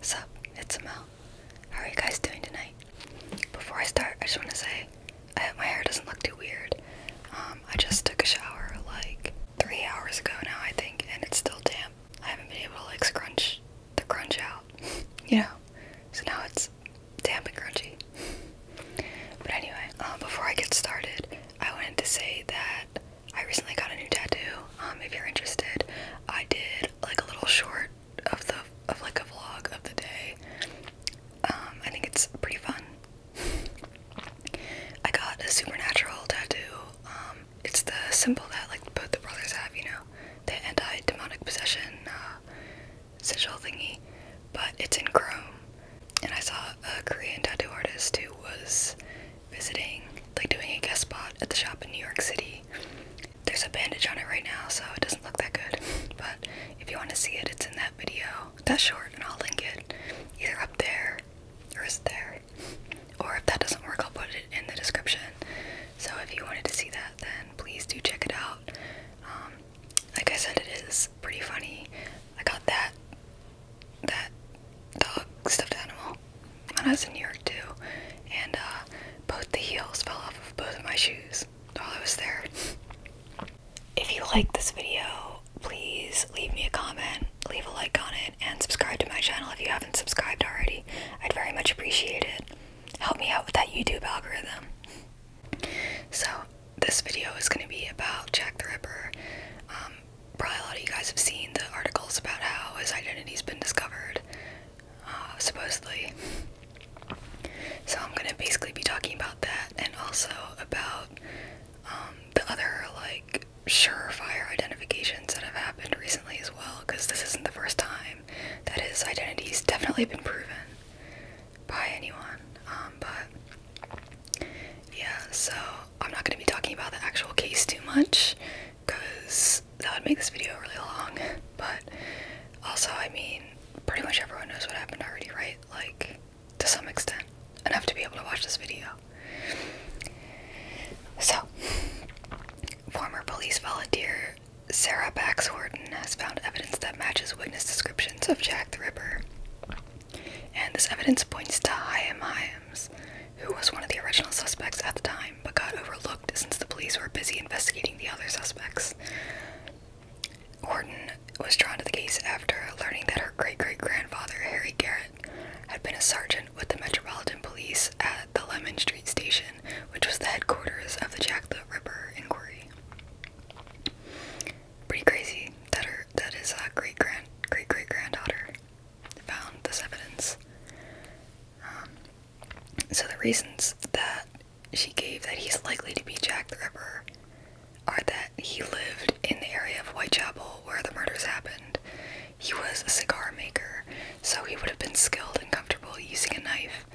Sup, it's Mel. How are you guys doing tonight? Before I start, I just want to say I hope my hair doesn't look too weird. Um, I just took a shower like three hours ago now, I think, and it's still damp. I haven't been able to like scrunch the crunch out, you know? So now it's damp and crunchy. but anyway, um, before I get started, I wanted to say that I recently got a new tattoo. Um, if you're interested, I did like a little short of the of like a vlog of the day. Um, I think it's pretty fun. I got a supernatural tattoo. Um, it's the symbol that like both the brothers have, you know, the anti-demonic possession uh, sigil thingy. But it's in chrome, and I saw a Korean tattoo artist who was visiting, like doing a guest spot at the shop in New York City. There's a bandage on it right now, so it doesn't look that good. But if you want to see it, it's in that video. That's short, and I'll link it either up there or is there. Or if that doesn't work, I'll put it in the description. So if you wanted to see that, then please do check it out. Um, like I said, it is pretty funny. I got that that dog stuffed animal fall I was in New York too, and uh, both the heels fell off of both of my shoes while I was there. If you like this video, please leave me a comment, leave a like on it, and subscribe to my channel if you haven't subscribed already. I'd very much appreciate it. Help me out with that YouTube algorithm. So, this video is going to be about Jack the Ripper. Um, probably a lot of you guys have seen the articles about how his identity's been discovered. Uh, supposedly. So I'm gonna basically be talking about that and also about um, the other like surefire identifications that have happened recently as well, because this isn't the first time that his identity's definitely been proven by anyone. Um, but yeah, so I'm not gonna be talking about the actual case too much because that would make this video really long. But also, I mean, pretty much everyone knows what happened already, right? Like, to some extent, enough to be able to watch this video. So, former police volunteer Sarah Bax has found evidence that matches witness descriptions of Jack the Ripper. And this evidence points to Hyam Hyams, who was one of the original suspects at the time but got overlooked since the police were busy investigating the other suspects. Horton was drawn to the case after learning that her great great grandfather, Harry Garrett, had been a sergeant with the Metropolitan Police at the Lemon Street Station, which was the headquarters of the Jack the Ripper inquiry. Pretty crazy that her that his uh, great grand great great granddaughter found this evidence. Um, so the reasons that she gave that he's likely to be Jack the Ripper are that he lived in the area of Whitechapel where the murders happened. He was a cigar maker, so he would have been skilled and comfortable using a knife.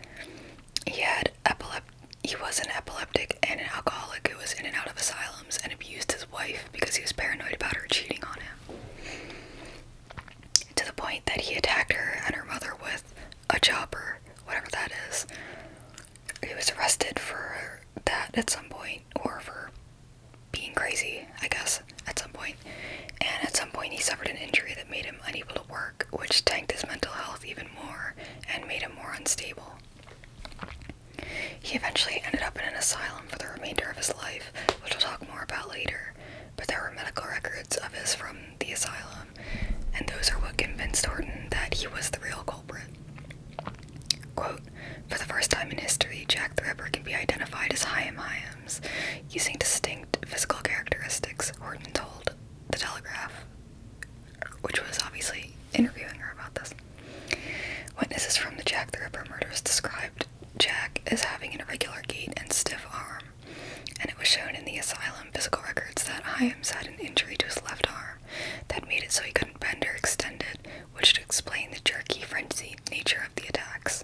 He had epilep he was an epileptic and an alcoholic who was in and out of asylums and abused his wife because he was paranoid about her cheating on him to the point that he attacked her and her mother with a chopper, whatever that is. He was arrested for that at some point, or for being crazy, I guess, at some point. And at some point, he suffered an injury that made him unable to work, which tanked his mental health even more and made him more unstable. He eventually ended up in an asylum for the remainder of his life, which we'll talk more about later but there were medical records of his from the asylum, and those are what convinced Horton that he was the real culprit. for the first time in history, Jack the Ripper can be identified as Hyam Hyams, using distinct physical characteristics, Horton told The Telegraph, which was obviously interviewing her about this. Witnesses from the Jack the Ripper murders described Jack as having an irregular gait and stiff arm, and it was shown in the asylum physical records that Hyams had an injury to his left arm that made it so he couldn't bend or extend it, which would explain the jerky, frenzied nature of the attacks.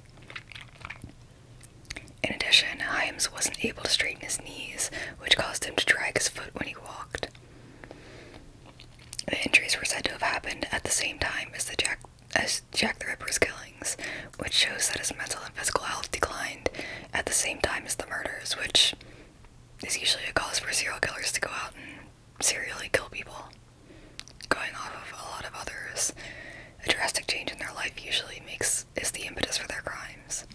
In addition, Hyams wasn't able to straighten his knees, which caused him to drag his foot when he walked. The injuries were said to have happened at the same time as the as Jack the Ripper's killings, which shows that his mental and physical health declined at the same time as the murders, which is usually a cause for serial killers to go out and serially kill people. Going off of a lot of others, a drastic change in their life usually makes is the impetus for their crimes,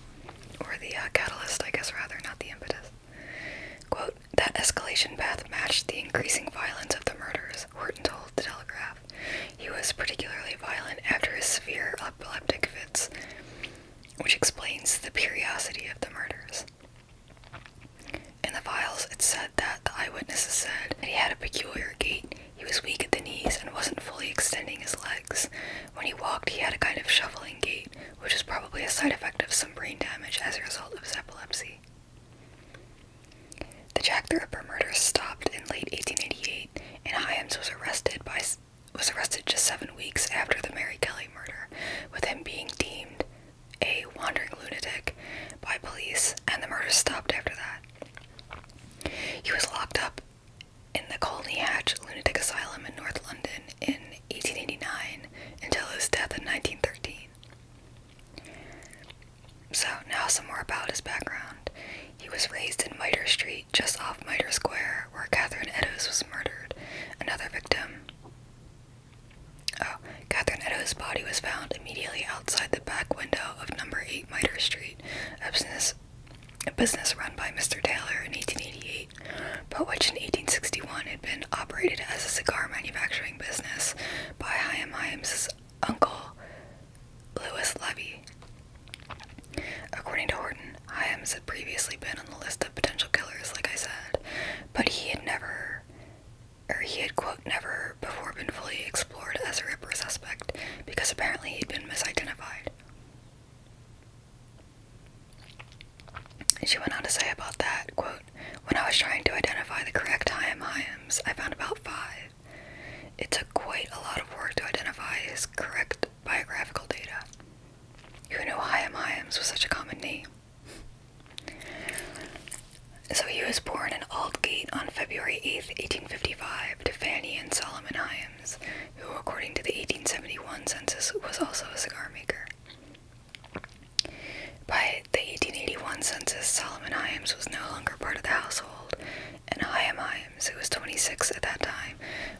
or the uh, catalyst, I guess, rather not the impetus. Quote, that escalation path matched the increasing violence of the murders, Horton told the Telegraph. He was particularly violent after his severe epileptic fits, which explains the periodicity of the murders. In the files, it said that the eyewitnesses said that he had a peculiar gait. He was weak at the knees and wasn't fully extending his legs. When he walked, he had a kind of shuffling gait, which was probably a side effect of some brain damage as a result of his epilepsy. The Jack the Ripper murders stopped in late 1888, and Hyams was arrested by was arrested just seven weeks after the Mary Kelly murder, with him being deemed a wandering lunatic by police, and the murders stopped after that. He was locked up in the Colney Hatch Lunatic Asylum in North London in 1889 until his death in 1913. So, now some more about his background. He was raised in Mitre Street just off Mitre Square, where Catherine Eddowes was murdered, another victim. Oh, Catherine Eddowes' body was found immediately outside the back window of number 8 Mitre Street, a business, run by Mr. Taylor in 1888, but which in 1861 had been operated as a cigar manufacturing business by Chaim Haim's uncle, Lewis Levy. According to Horton, Hyams had previously been on the list of potential killers, like I said, but he had never, or he had, quote, never before been fully explored as a Ripper suspect because apparently he'd been misidentified. She went on to say about that, quote, when I was trying to identify the correct Hyam I found about five. It took quite a lot of work to identify his correct biographical data. Who knew Hyam Hyams was such a common name? So he was born in Aldgate on February 8, 1855, to Fanny and Solomon Hyams, who, according to the 1871 census, was also a cigar maker. By the 1881 census, Solomon Hyams was no longer part of the household, and Chaim Himes, who was 26 at that time,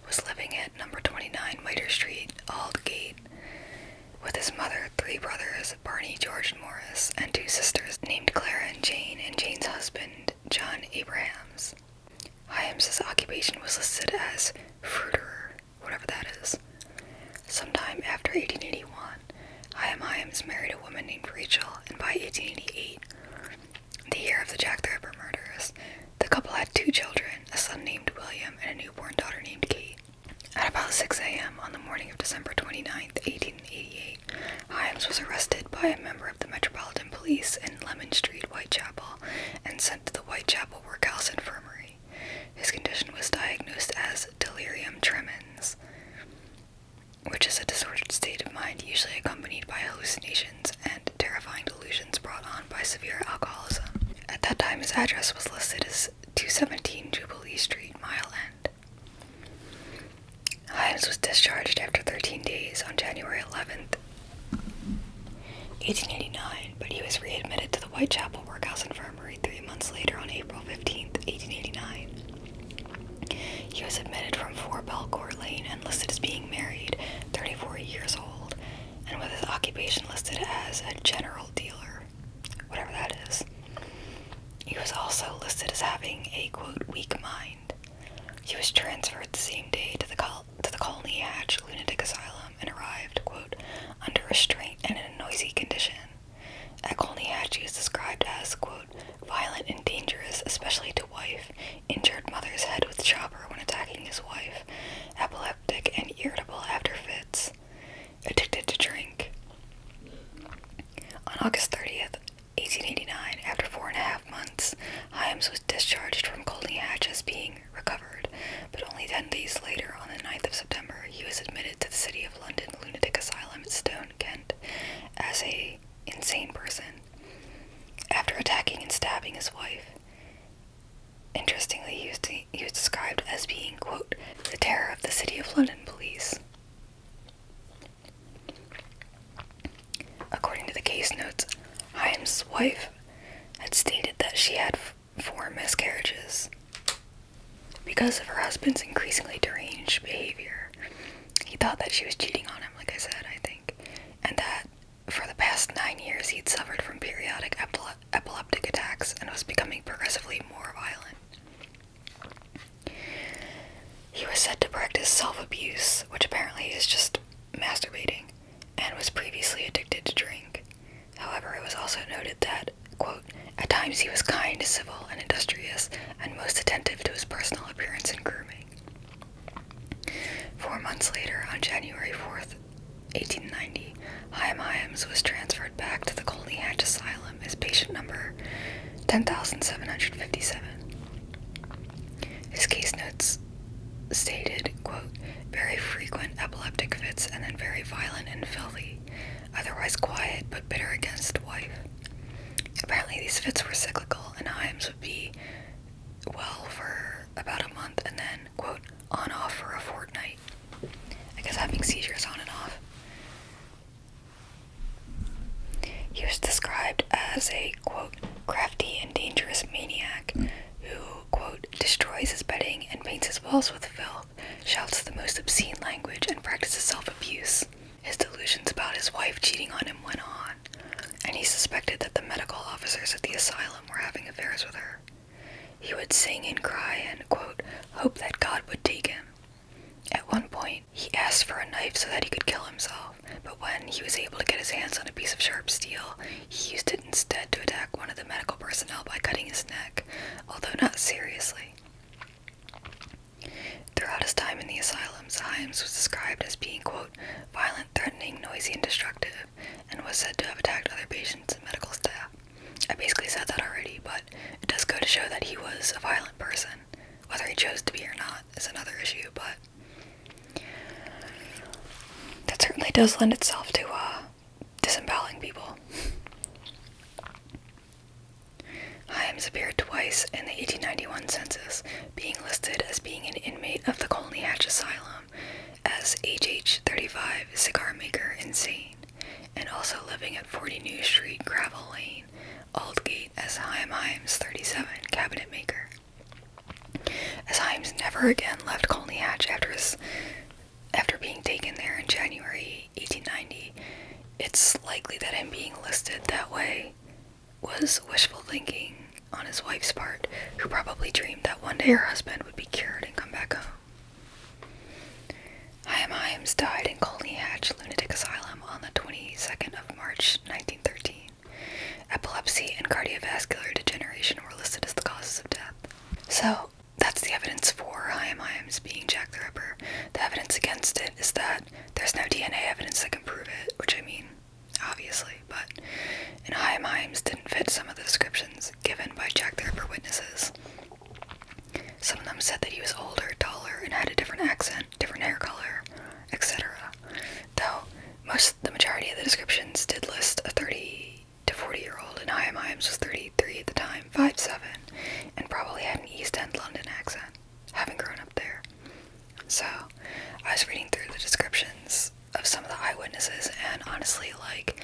was living at number 29 Mitre Street, Aldgate, with his mother, three brothers, Barney, George, and Morris, and two sisters named Clara and Jane, and Jane's husband, John Abrahams. Hyams' occupation was listed as fruiter, whatever that is. Sometime after 1881, Hyam Hyams married a woman named Rachel, and by 1888, the year of the Jack the Ripper murders. The couple had two children, a son named William and a newborn daughter named Kate. At about 6 a.m. on the morning of December 29, 1888, Hyams was arrested by a member of the Metropolitan Police in Lemon Street, Whitechapel, and sent to the Whitechapel Workhouse Infirmary. His condition was diagnosed as delirium tremens, which is a disordered state of mind usually accompanied by hallucinations and terrifying delusions brought on by severe alcoholism. At that time, his address was listed as 217 Jubilee Street, Mile End. Hyams was discharged after 13 days on January 11, 1889, but he was readmitted to the Whitechapel Workhouse Infirmary three months later on April 15, 1889. He was admitted from 4 Belcourt Lane and listed as being married 34 years old, and with his occupation listed as a general dealer, whatever that is. He was also listed as having a quote weak mind. He was transferred the same day to the col to the Colney Hatch Lunatic Asylum and arrived quote under restraint and in a noisy condition. At Colney Hatch, he was described as quote violent and dangerous, especially to wife, injured mother's head with chopper when attacking his wife, epileptic and irritable after fits, addicted to drink. On August 30th, 1889, after four and a half months, Hyams was discharged from Colney Hatch as being recovered, but only 10 days later, on the 9th of September, he was admitted to the City of London Lunatic Asylum at Stone, Kent, as a insane person after attacking and stabbing his wife. Interestingly, he was, described as being, quote, the terror of the City of London police. According to the case notes, Hyams' wife had stated that she had four miscarriages because of her husband's increasingly deranged behavior. He thought that she was cheating on him, like I said, I think, and that for the past nine years, he'd suffered from periodic epileptic attacks and was becoming progressively more violent. He was said to practice self abuse, which apparently is just masturbating, and was previously addicted to drink. However, it was also noted that, quote, at times he was kind, civil, and industrious, and most attentive to his personal appearance and grooming. Four months later, on January 4th, 1890, Chaim Hyams was transferred back to the Colney Hatch Asylum as patient number 10757. His case notes stated, quote, very frequent epileptic fits and then very violent and filthy, otherwise quiet but bitter against wife. Apparently these fits were cyclical and Hyams would be well for about a month and then, quote, on off for a fortnight. I having seizures on and off. He was described as a, quote, crafty and dangerous maniac who, quote, destroys his bedding and paints his walls with filth, shouts the most obscene language, and practices self abuse. His delusions about his wife cheating on him went on and he suspected that the medical officers at the asylum were having affairs with her. He would sing and cry and, quote, hope that God would take him. At one point, he asked for a knife so that he could kill himself, but when he was able to get his hands on a piece of sharp steel, he used it instead to attack one of the medical personnel by cutting his neck, although not seriously. Throughout his time in the asylum, Himes was described as being, quote, violent, threatening, noisy, and destructive, and was said to have attacked other patients and medical staff. I basically said that already, but it does go to show that he was a violent person. Whether he chose to be or not is another issue, but that certainly does lend itself to uh, disemboweling people. Himes appeared twice in the 1891 census, being listed as being an inmate of the Colney Hatch Asylum as HH35 Cigar Maker Insane, and also living at 40 New Street Gravel Lane, Aldgate as Haim Himes 37 Cabinet Maker. As Himes never again left Colney Hatch after after being taken there in January 1890, it's likely that him being listed that way was wishful thinking on his wife's part, who probably dreamed that one day her husband would be cured and come back home. Chaim Himes died in Colney Hatch Lunatic Asylum on the 22nd of March 1913. Epilepsy and cardiovascular degeneration were listed as the causes of death. So that's the evidence for Chaim Himes being Jack the Ripper. The evidence against it is that there's no DNA evidence that can prove it, which I mean, obviously, but in High Mimes didn't fit some of the descriptions given by Jack the Ripper witnesses. Some of them said that he was older, taller, and had a different accent, different hair color, etc. Though most the majority of the descriptions did list a 30 to 40 year old, and High Mimes was 33 at the time, five-seven, and probably had an East End London accent, having grown up there. So, I was reading through the descriptions of some of the eyewitnesses, and honestly, like,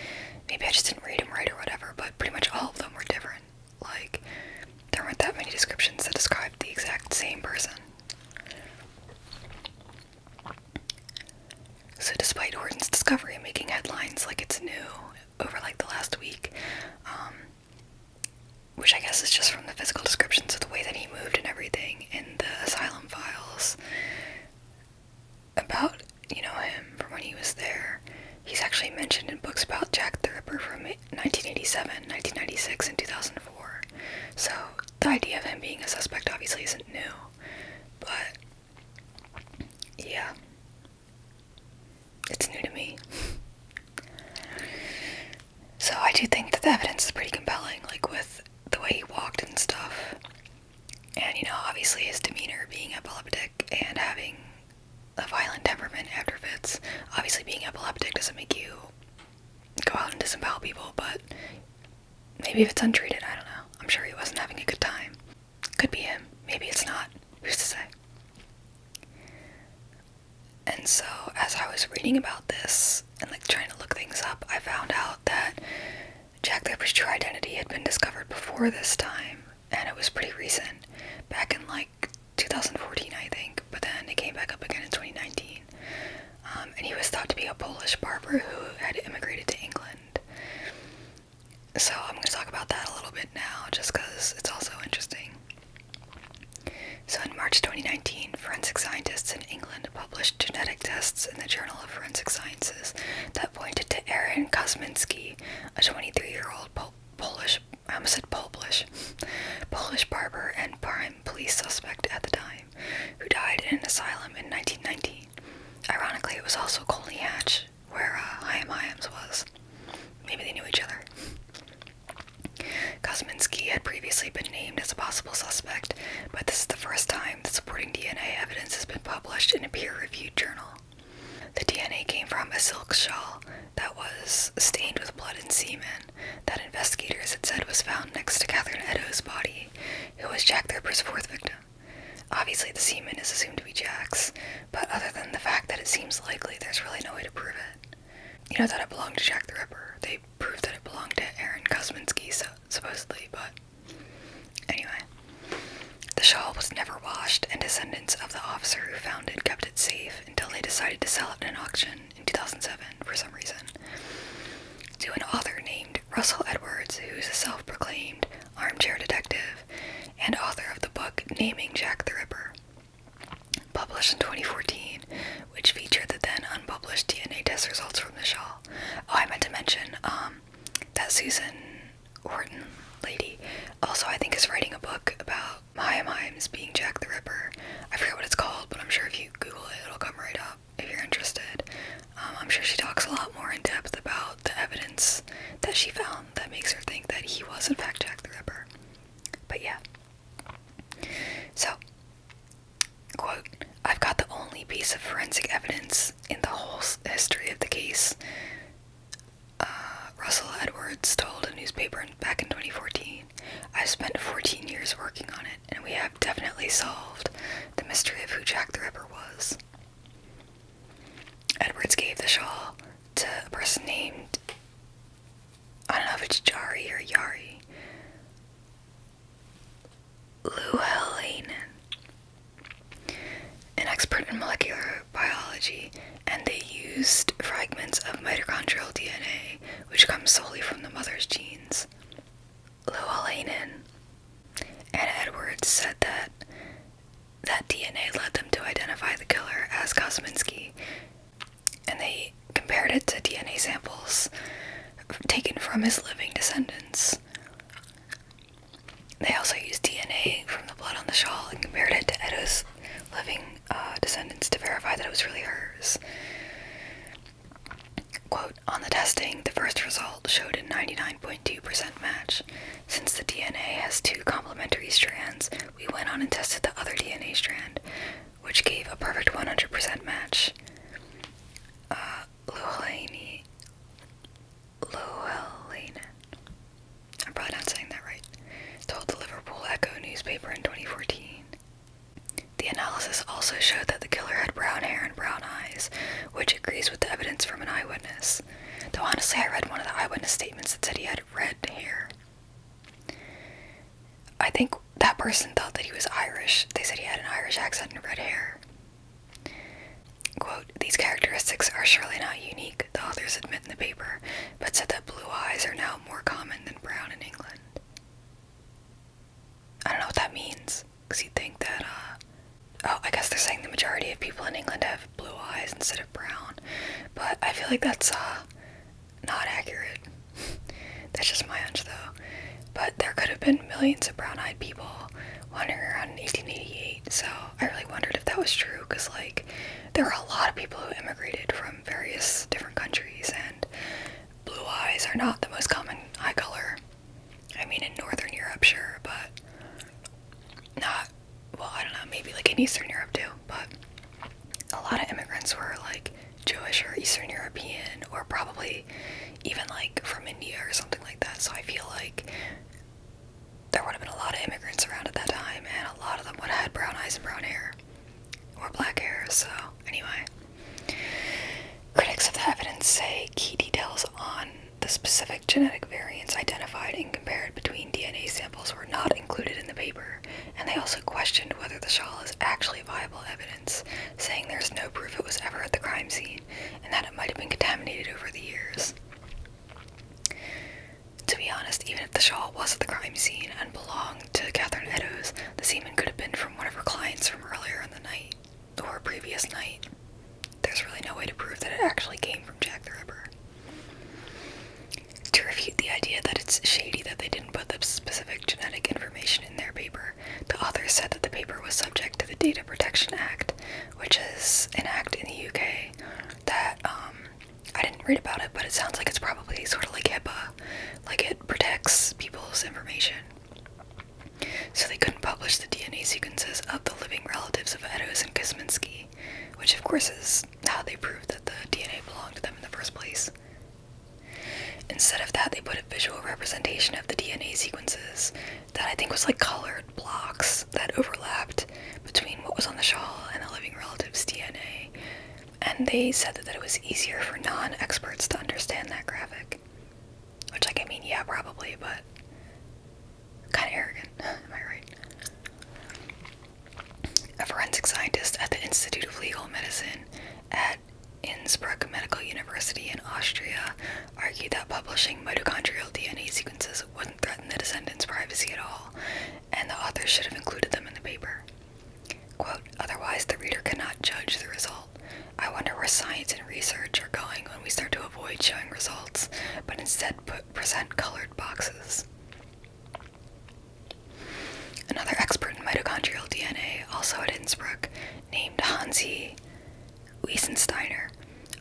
maybe I just didn't read them right or whatever, but pretty much all of them were different. Like, there weren't that many descriptions that described the exact same person. So, despite Horton's discovery making headlines like it's new over like the last week, um, which I guess is just from the physical descriptions of the way that he moved and everything in the asylum files, about you know him from when he was there. He's actually mentioned in books about Jack the Ripper from 1987, 1996, and 2004. So the idea of him being a suspect obviously isn't new, but yeah, it's new to me. So I do think that the evidence is pretty compelling, like with the way he walked and stuff. And you know, obviously his demeanor being epileptic and having a violent temperament after fits. Obviously being epileptic doesn't make you go out and disembowel people, but maybe if it's untreated, I don't know. I'm sure he wasn't having a good time. Could be him. Maybe it's not. Who's to say? And so, as I was reading about this and like trying to look things up, I found out that Jack Draper's true identity had been discovered before this time, and it was pretty recent, back in like 2014, I think, but then it came back up again in 2019. Um, and he was thought to be a Polish barber who had immigrated to England. So I'm going to talk about that a little bit now, just because it's also interesting. So in March 2019, forensic scientists in England published genetic tests in the Journal of Forensic Sciences that pointed to Aaron Kosminski, a 23-year-old Polish, I almost said Polish, Polish barber and prime police suspect at the time, who died in an asylum in 1919. Ironically, it was also Colney Hatch, where uh, Chaim Hyams was. Maybe they knew each other. Kosminski had previously been as a possible suspect, but this is the first time the supporting DNA evidence has been published in a peer reviewed journal. The DNA came from a silk shawl that was stained with blood and semen that investigators had said was found next to Catherine Edo's body, who was Jack the Ripper's fourth victim. Obviously, the semen is assumed to be Jack's, but other than the fact that it seems likely, there's really no way to prove it. You know that it belonged to Jack the Ripper. They proved that it belonged to Aaron Kosminski, supposedly, but Anyway, the shawl was never washed, and descendants of the officer who found it kept it safe until they decided to sell it in an auction in 2007 for some reason to an author named Russell Edwards, who is a self proclaimed armchair detective and author of the book Naming Jack the Ripper, published in 2014, which featured the then unpublished DNA test results from the shawl. Oh, I meant to mention, um, that Susan Orton lady also I think is writing a book about Maya Mimes being Jack the Ripper. I forget what it's called, but I'm sure if you Google it, it'll come right up if you're interested. Um, I'm sure she talks a lot more in depth about the evidence that she found that makes her think that he was in fact Jack the Ripper. But yeah. So Quote, I've got the only piece of forensic evidence in the whole history of the case, uh, Russell Edwards told a newspaper back in 2014. I've spent 14 years working on it, and we have definitely solved the mystery of who Jack the Ripper was. Edwards gave the shawl to a person named, I don't know if it's Jari or Yari, Llewellyn, an expert in molecular biology, and they used fragments of mitochondrial DNA, which comes solely from the mother's genes. Llewellyn and Edwards said that that DNA led them to identify the killer as Kosminski, and they compared it to DNA samples taken from his living descendants. They also used DNA from the blood on the shawl and compared it to Edo's living uh, descendants to verify that it was really hers. Quote, on the testing, the first result showed a 99.2% match. Since the DNA has two complementary strands, we went on and tested the other DNA strand, which gave a perfect 100% match. Uh, Llewellyn. I'm probably not saying that right. Told the Liverpool Echo newspaper in 2014. The analysis also showed that the killer had brown hair and brown eyes, which agrees with the evidence from an eyewitness. Though honestly, I read one of the eyewitness statements that said he had red hair. I think that person thought that he was Irish. They said he had an Irish accent and red hair. These characteristics are surely not unique, the authors admit in the paper, but said that blue eyes are now more common than brown in England. I don't know what that means, because you'd think that, uh, oh, I guess they're saying the majority of people in England have blue eyes instead of brown, but I feel like that's, uh, not accurate. that's just my hunch, though. But there could have been millions of brown eyed people wandering around in 1888, so I really wondered if that was true because, like, there are a lot of people who immigrated from various different countries, and blue eyes are not the most common eye color. I mean, in Northern Europe, sure, but not, well, I don't know, maybe like in Eastern Europe too, but a lot of immigrants were like Jewish or Eastern European or probably even like from India or something like that. So I feel like there would have been a lot of immigrants around at that time, and a lot of them would have had brown eyes and brown hair or black hair. So, anyway, critics of the evidence say key details on the specific genetic variants identified and compared between DNA samples were not included in the paper, and they also questioned whether the shawl is actually viable evidence, saying there's no proof it was ever at the crime scene and that it might have been contaminated over the years. To be honest, even if the shawl was at the crime scene and belonged to Catherine Eddowes, the semen could have been from one of her clients from earlier in the night or previous night. There's really no way to prove that it actually came from Jack the Ripper. To refute the idea that it's shady that they didn't put the specific genetic information in their paper, the authors said that the paper was subject to the Data Protection Act, which is an act in the UK that um, I didn't read about it, but it sounds like it's probably sort of like HIPAA, like it protects people's information. So they couldn't publish the DNA sequences of the living relatives of Edos and Kosminski, which of course is how they proved that the DNA belonged to them in the first place. Instead of that, they put a visual representation of the DNA sequences that I think was like colored blocks that overlapped between what was on the shawl and the living relative's DNA, and they said that, that it was easier for non experts to understand that graphic. Which, like, I mean, yeah, probably, but kind of arrogant, am I right? A forensic scientist at the Institute of Legal Medicine at Innsbruck Medical University in Austria argued that publishing mitochondrial DNA sequences wouldn't threaten the descendants' privacy at all, and the author should have included them in the paper. Quote, otherwise the reader cannot judge the result. I wonder where science and research are going when we start to avoid showing results, but instead put, present colored boxes. Another expert in mitochondrial DNA, also at Innsbruck, named Hansi Wiesensteiner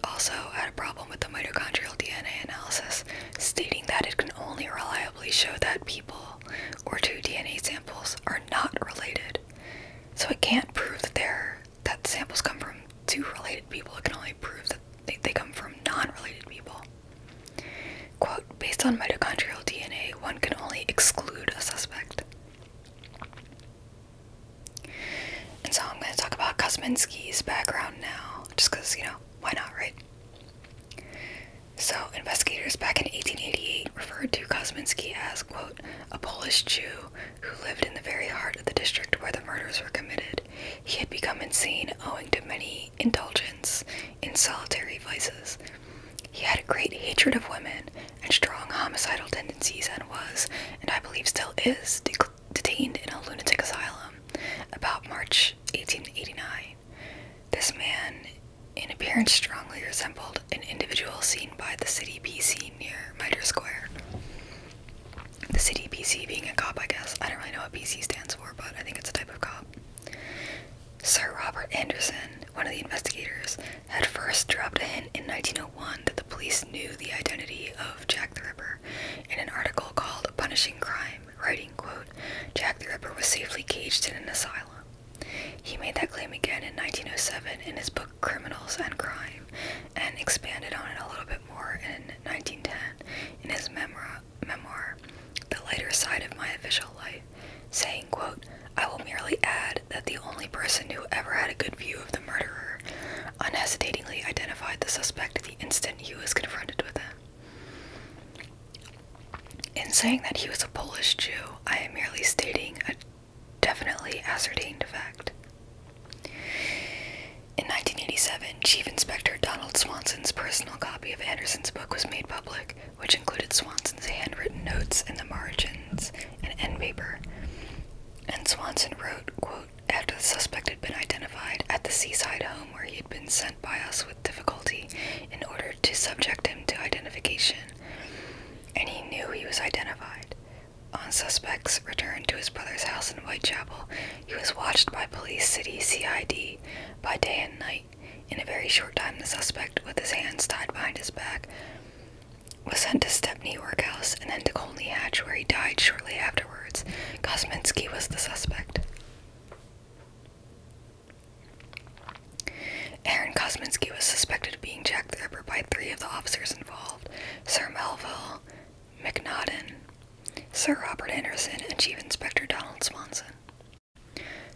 also had a problem with the mitochondrial DNA analysis, stating that it can only reliably show that people or two DNA samples are not related. So it can't prove that they that samples come from two related people. It can only prove that they come from non-related people. Quote, based on mitochondrial DNA, one can only exclude a suspect. And so I'm going to talk about Kozminski's background now, just because, you know, why not, right? So, investigators back in 1888 referred to Kozminski as, quote, a Polish Jew who lived in the very heart of the district where the murders were committed. He had become insane owing to many indulgence in solitary vices. He had a great hatred of women and strong homicidal tendencies and was, and I believe still is, detained in a lunatic asylum about March 1889. This man, in appearance, strongly resembled an individual seen by the city PC near Mitre Square. The city PC being a cop, I guess. I don't really know what PC stands for, but I think it's a type of cop. Sir Robert Anderson, one of the investigators, had first dropped a hint in 1901 that the police knew the identity of Jack the Ripper. In an article called Punishing Crime, writing, quote, Jack the Ripper was safely caged in an asylum. He made that claim again in 1907 in his book Criminals and Crime and expanded on it a little bit more in 1910 in his memoir, The Lighter Side of My Official Life, saying, quote, I will merely add that the only person who ever had a good view the murderer unhesitatingly identified the suspect the instant he was confronted with him. In saying that he was a Polish Jew, I am merely stating a definitely ascertained fact. In 1987, Chief Inspector Donald Swanson's personal copy of Anderson's book was made public, which included Swanson's handwritten notes in the margins and end paper. And Swanson wrote, quote, after the suspect had been identified at the seaside home where he had been sent by us with difficulty in order to subject him to identification, and he knew he was identified. On suspect's return to his brother's house in Whitechapel, he was watched by Police City CID by day and night. In a very short time, the suspect, with his hands tied behind his back, was sent to Stepney workhouse and then to Colney Hatch, where he died shortly afterwards. Kosminski was the suspect. Aaron Kosminski was suspected of being Jack the Ripper by three of the officers involved Sir Melville, McNaughton, Sir Robert Anderson, and Chief Inspector Donald Swanson.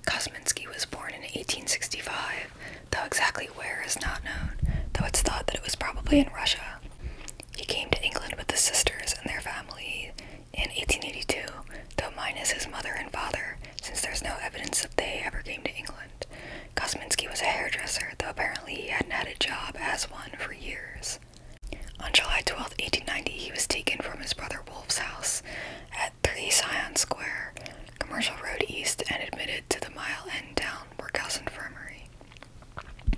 Kosminski was born in 1865, though exactly where is not known, though it's thought that it was probably in Russia. He came to England with the sisters and their family in 1882, though minus his mother and father, since there's no evidence that they ever came to England. Kosminski was a hairdresser, though apparently he hadn't had a job as one for years. On July 12, 1890, he was taken from his brother Wolf's house at 3 Scion Square, Commercial Road East, and admitted to the Mile End Town Workhouse Infirmary.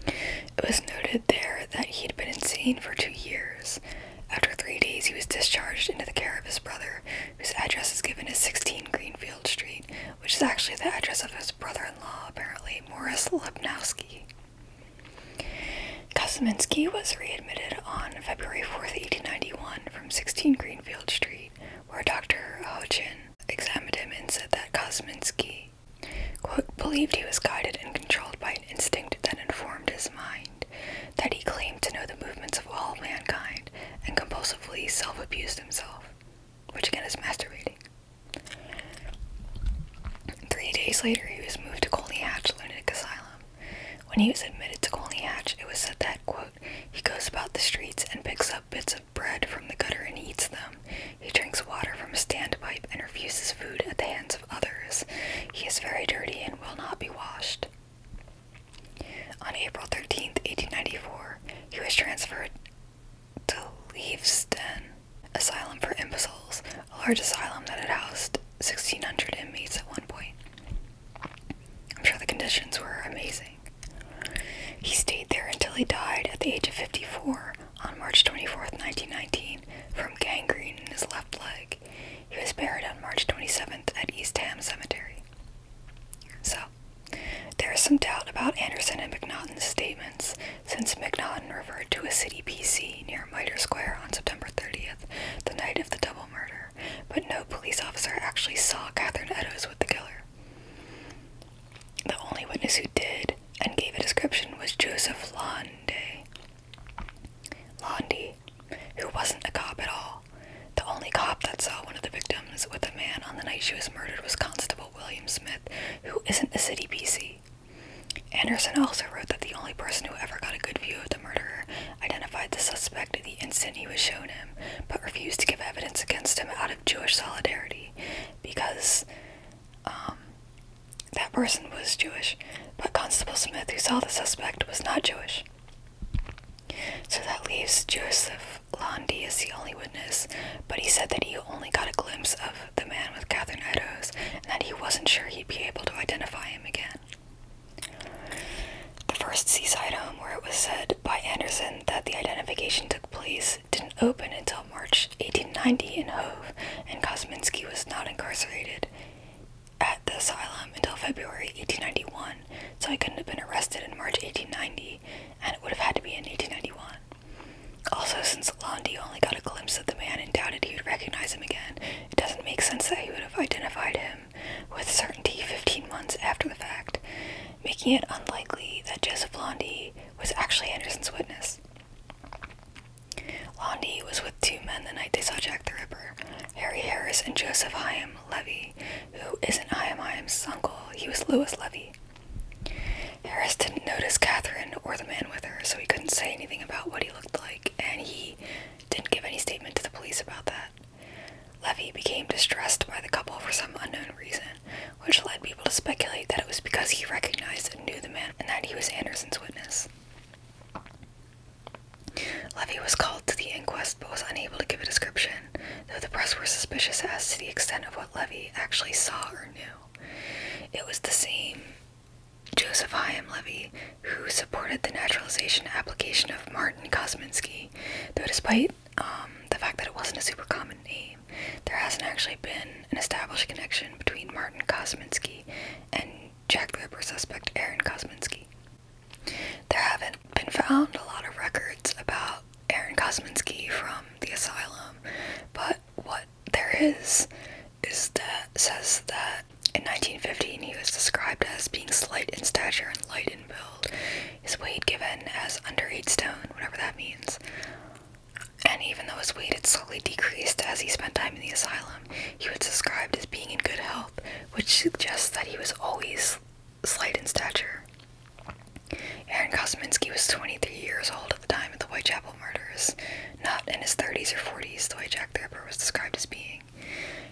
It was noted there that he'd been insane for two years. After three days, he was discharged into the care of his brother, whose address is given as 16 Greenfield Street, which is actually the address of his brother in law, apparently, Morris Lebnowski. Kosminski was readmitted on February 4, 1891, from 16 Greenfield Street, where Dr. Hochin examined him and said that Kosminski believed he was guided and controlled by an instinct that informed his mind, that he claimed to know the movements of all mankind, and compulsively self abused himself, which again is masturbating. Three days later, he was moved to Colney Hatch Lunatic Asylum. When he was admitted to Colney Hatch, it was said that, quote, he goes about the streets and picks up bits of bread from the gutter and eats them, he drinks water from a standpipe and refuses food at the hands of others. He is very dirty and will not be washed. On April 13, 1894, he was transferred to Leavesden Asylum for Imbeciles, a large asylum that had housed 1,600 inmates at one point. I'm sure the conditions were amazing. He stayed there until he died at the age of 54 on March 24, 1919, from gangrene in his left leg. He was buried on March 27th at East Ham Cemetery. So, there is some doubt about Anderson and McNaughton's statements, since McNaughton referred to a city PC near Mitre Square on September 30th, the night of the double murder, but no police officer actually saw Catherine Eddowes with the killer. The only witness who did and gave a description was Joseph Londe. Londy, who wasn't a cop at all. The only cop that saw one of the victims with a man on the night she was murdered was Constable William Smith, who isn't a city PC. Anderson also wrote that the only person who ever got a good view of the murderer identified the suspect the instant he was shown him, but refused to give evidence against him out of Jewish solidarity because um, that person was Jewish, but Constable Smith, who saw the suspect, was not Jewish. So that leaves Joseph Landy as the only witness, but he said that he only got a glimpse of the man with Catherine Eddowes and that he wasn't sure he'd be able to identify him again. The first seaside home where it was said by Anderson that the identification took place didn't open until March 1890 in Hove, and Kosminski was not incarcerated at the asylum until February 1891, so he couldn't have been arrested in March 1890, and it would have had to be in 1891. Also, since Landy only got a glimpse of the man and doubted he would recognize him again, it doesn't make sense that he would have identified him with certainty 15 months after the fact, making it unlikely that Joseph Landy was actually Anderson's witness. Londi was with two men the night they saw Jack the Ripper, Harry Harris and Joseph Hyam Levy, who isn't Hyam Hyam's uncle, he was Lewis Levy. Harris didn't notice Catherine or the man with her, so he couldn't say anything about what he looked like, and he didn't give any statement to the police about that. Levy became distressed by the couple for some unknown reason, which led people to speculate that it was because he recognized knew the man and that he was Anderson's witness. Levy was called to the inquest but was unable to give a description, though the press were suspicious as to the extent of what Levy actually saw or knew. It was the same Joseph Hyam Levy who supported the naturalization application of Martin Kosminski, though despite um, the fact that it wasn't a super common name. There hasn't actually been an established connection between Martin Kosminski and Jack the Ripper suspect Aaron Kosminski. There haven't been found a lot of records about Aaron Kosminski from the asylum, but what there is is that says that in 1915 he was described as being slight in stature and light in build, his weight given as under 8 stone, whatever that means. And even though his weight had slowly decreased as he spent time in the asylum, he was described as being in good health, which suggests that he was always slight in stature. Aaron Kosminski was 23 years old at the time of the Whitechapel murders, not in his 30s or 40s, the way Jack the Ripper was described as being.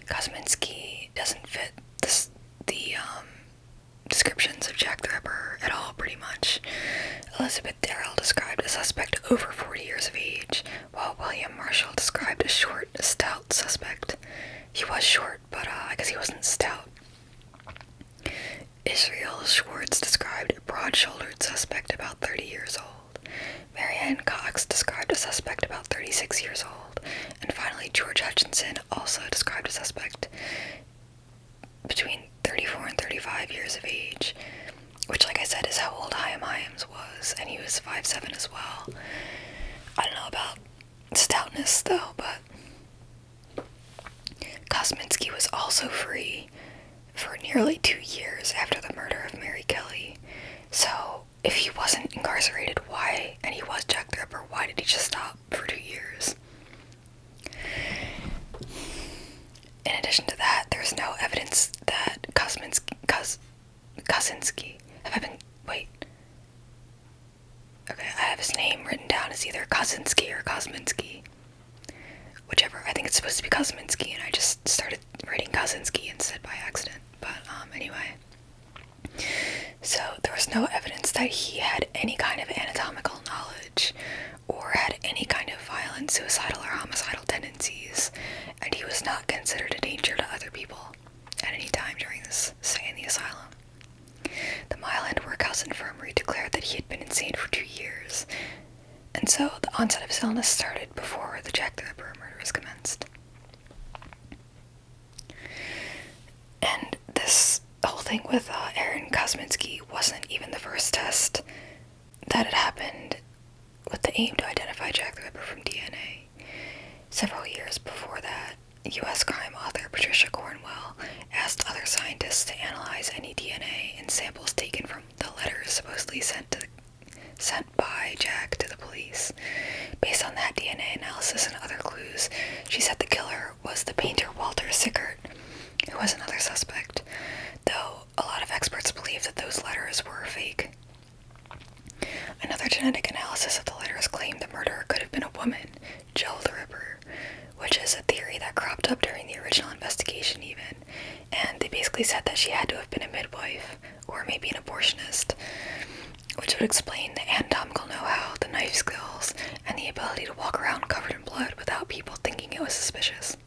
Kosminski doesn't fit the um, descriptions of Jack the Ripper at all, pretty much. Elizabeth Darrell described a suspect over 40 years of age, while William Marshall described a short, stout suspect. He was short, but uh, I guess he wasn't stout. Israel Schwartz described a broad shouldered suspect about 30 years old. Marianne Cox described a suspect about 36 years old. And finally, George Hutchinson also described a suspect between 34 and 35 years of age which like I said is how old Chaim Hyams was, and he was five seven as well. I don't know about stoutness though, but Kosminski was also free for nearly two years after the murder of Mary Kelly. So if he wasn't incarcerated, why and he was Jack the Ripper, why did he just stop for two years? In addition to that, there's no evidence that Kosminski, Kos, Kosinski, have I been, wait. Okay, I have his name written down as either Kozinski or Kozminski, Whichever, I think it's supposed to be Kosminski and I just started writing Kozinski and said by accident. But um, anyway, so there was no evidence that he had any kind of anatomical knowledge or had any kind of violent, suicidal, or homicidal tendencies, and he was not considered a danger to other people at any time during his stay in the asylum. The Mile End Workhouse Infirmary declared that he had been insane for two years, and so the onset of his illness started before the Jack the Ripper murders commenced. And this whole thing with uh, Aaron Kosminski wasn't even the first test that had happened with the aim to identify Jack the Ripper from DNA. Several years before that, U.S. crime author Patricia Cornwell asked other scientists to analyze any DNA in samples taken from the letters supposedly sent to sent by Jack to the police. Based on that DNA analysis and other clues, she said the killer was the painter Walter Sickert, who was another suspect. Though a lot of experts believe that those letters were fake. Another genetic analysis of the letters claimed the murderer could have been a woman, Jill the Ripper, which is a theory that cropped up during the original investigation, even. And they basically said that she had to have been a midwife, or maybe an abortionist, which would explain the anatomical know how, the knife skills, and the ability to walk around covered in blood without people thinking it was suspicious.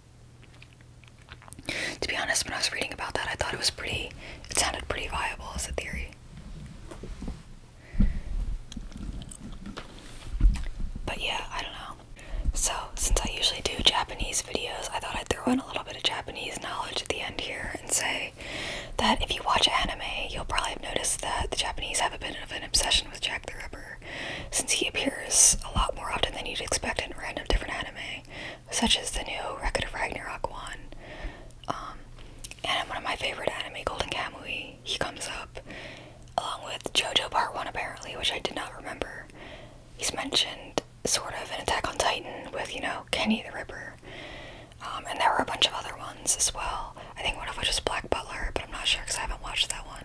To be honest, when I was reading about that, I thought it was pretty, it sounded pretty viable as a theory. But yeah, I don't know. So, since I usually do Japanese videos, I thought I'd throw in a little bit of Japanese knowledge at the end here and say that if you watch anime, you'll probably have noticed that the Japanese have a bit of an obsession with Jack the Ripper, since he appears a lot more often than you'd expect in random different anime such as the new Record of Ragnarok one. Um, and one of my favorite anime, Golden Kamui, he comes up along with JoJo Part 1 apparently, which I did not remember. He's mentioned sort of an Attack on Titan with, you know, Kenny the Ripper. Um, and there were a bunch of other ones as well. I think one of which was Black Butler, but I'm not sure because I haven't watched that one.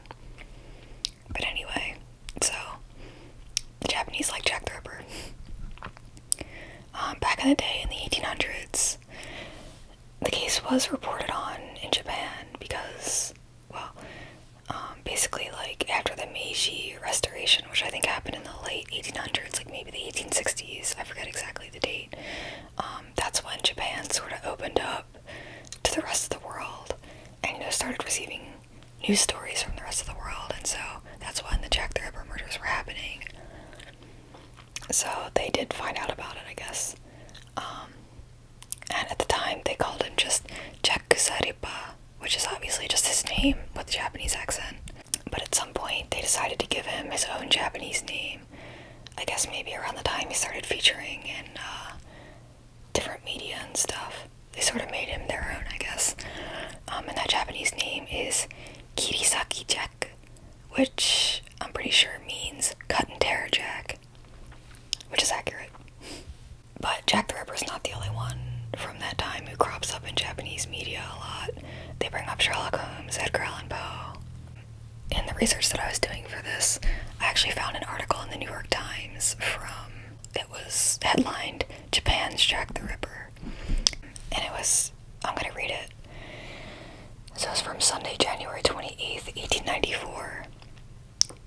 But anyway, so the Japanese like Jack the Ripper. Um, back in the day, in the 1800s, the case was reported on in Japan because, well, um, basically, like after the Meiji Restoration, which I think happened in the late 1800s, like maybe the 1860s, I forget exactly the date, um, that's when Japan sort of opened up to the rest of the world and you know, started receiving news stories from the rest of the world, and so that's when the Jack the Ripper murders were happening. So they did find out about it, I guess. Um, and at the time, they called him just Jack Kusaripa, which is obviously just his name with a Japanese accent. But at some point, they decided to give him his own Japanese name. I guess maybe around the time he started featuring in uh, different media and stuff. They sort of made him their own, I guess. Um, and that Japanese name is Kirisaki Jack, which I'm pretty sure means cut and tear Jack, which is accurate. But Jack the Ripper is not the only one from that time who crops up in Japanese media a lot. They bring up Sherlock Holmes, Edgar Allan Poe. In the research that I was doing for this, I actually found an article in the New York Times from it was headlined Japan's Jack the Ripper. And it was, I'm going to read it. So it's from Sunday, January 28th, 1894.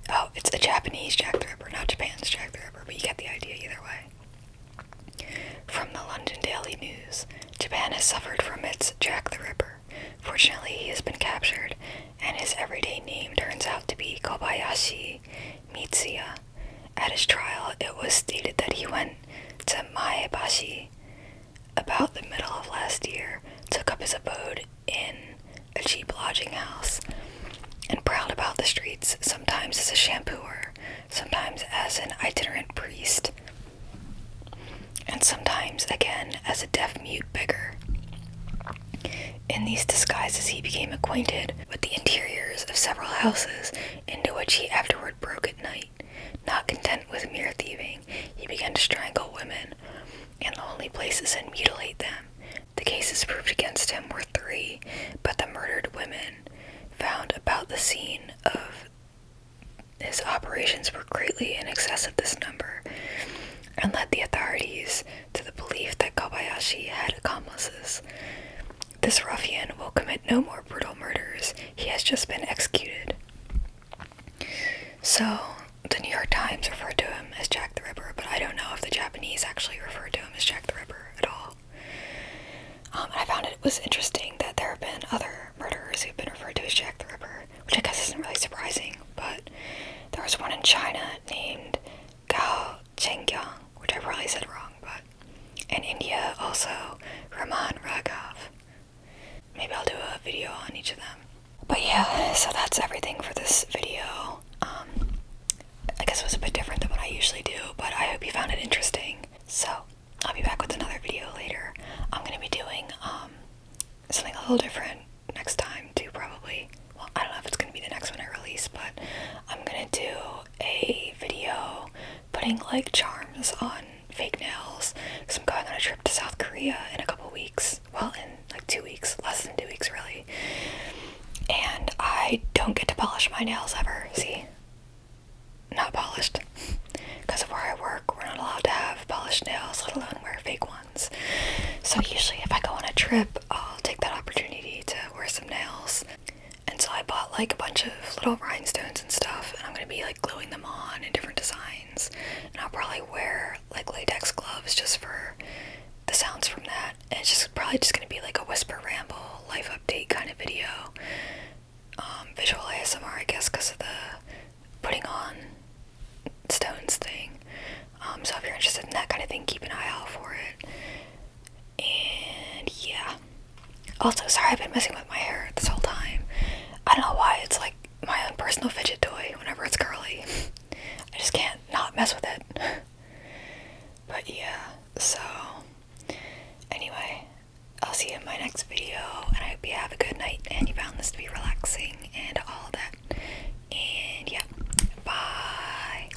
Oh, it's a Japanese Jack the Ripper, not Japan's Jack the Ripper, but you get the idea either way. From the London Daily News Japan has suffered from its Jack the Ripper. Fortunately, he has been captured, and his everyday name turns out to be Kobayashi Mitsuya. At his trial, it was stated that he went to Maebashi about the middle of last year, took up his abode in a cheap lodging house, and prowled about the streets, sometimes as a shampooer, sometimes as an itinerant priest, and sometimes again as a deaf mute beggar. In these disguises, he became acquainted with the interiors of several houses, into which he afterward broke at night. Not content with mere thieving, he began to strangle women in lonely places and mutilate them. The cases proved against him were three, but the murdered women found about the scene of his operations were greatly in excess of this number, and led the authorities to the belief that Kobayashi had accomplices. This ruffian will commit no more brutal murders. He has just been executed. So, the New York Times referred to him as Jack the Ripper, but I don't know if the Japanese actually referred to him as Jack the Ripper at all. Um, I found it was interesting that there have been other murderers who've been referred to as Jack the Ripper, which I guess isn't really surprising, but there was one in China named Gao called Chengyang, which I probably said wrong, but in India also Ramon Raghav. Maybe I'll do a video on each of them. But yeah, so that's everything for this video. Um, I guess it was a bit different than what I usually do, but I hope you found it interesting. So I'll be back with another video later. I'm gonna be doing um, something a little different next time too, probably well, I don't know if it's gonna be the next one I release, but I'm gonna do a video putting like charms on fake nails because I'm going on a trip to South Korea in a couple weeks. Well, in like two weeks, less than two weeks, really. And I don't get to polish my nails ever. See? Not polished. Because of where I work, we're not allowed to have polished nails, let alone wear fake ones. So, usually, if I go on a trip, I'll take that opportunity to wear some nails. And so I bought like a bunch of little rhinestones and stuff, and I'm gonna be like gluing them on in different designs. And I'll probably wear like latex gloves just for the sounds from that. And it's just probably just gonna be like a whisper ramble, life update kind of video. Um, visual ASMR, I guess, because of the putting on stones thing. Um, so if you're interested in that kind of thing, keep an eye out for it. And yeah. Also, sorry I've been messing with my hair this whole time. I don't know why it's like my own personal fidget toy whenever it's curly. I just can't not mess with it. but yeah, so anyway, I'll see you in my next video and I hope you have a good night and you found this to be relaxing and all that. And yeah, bye.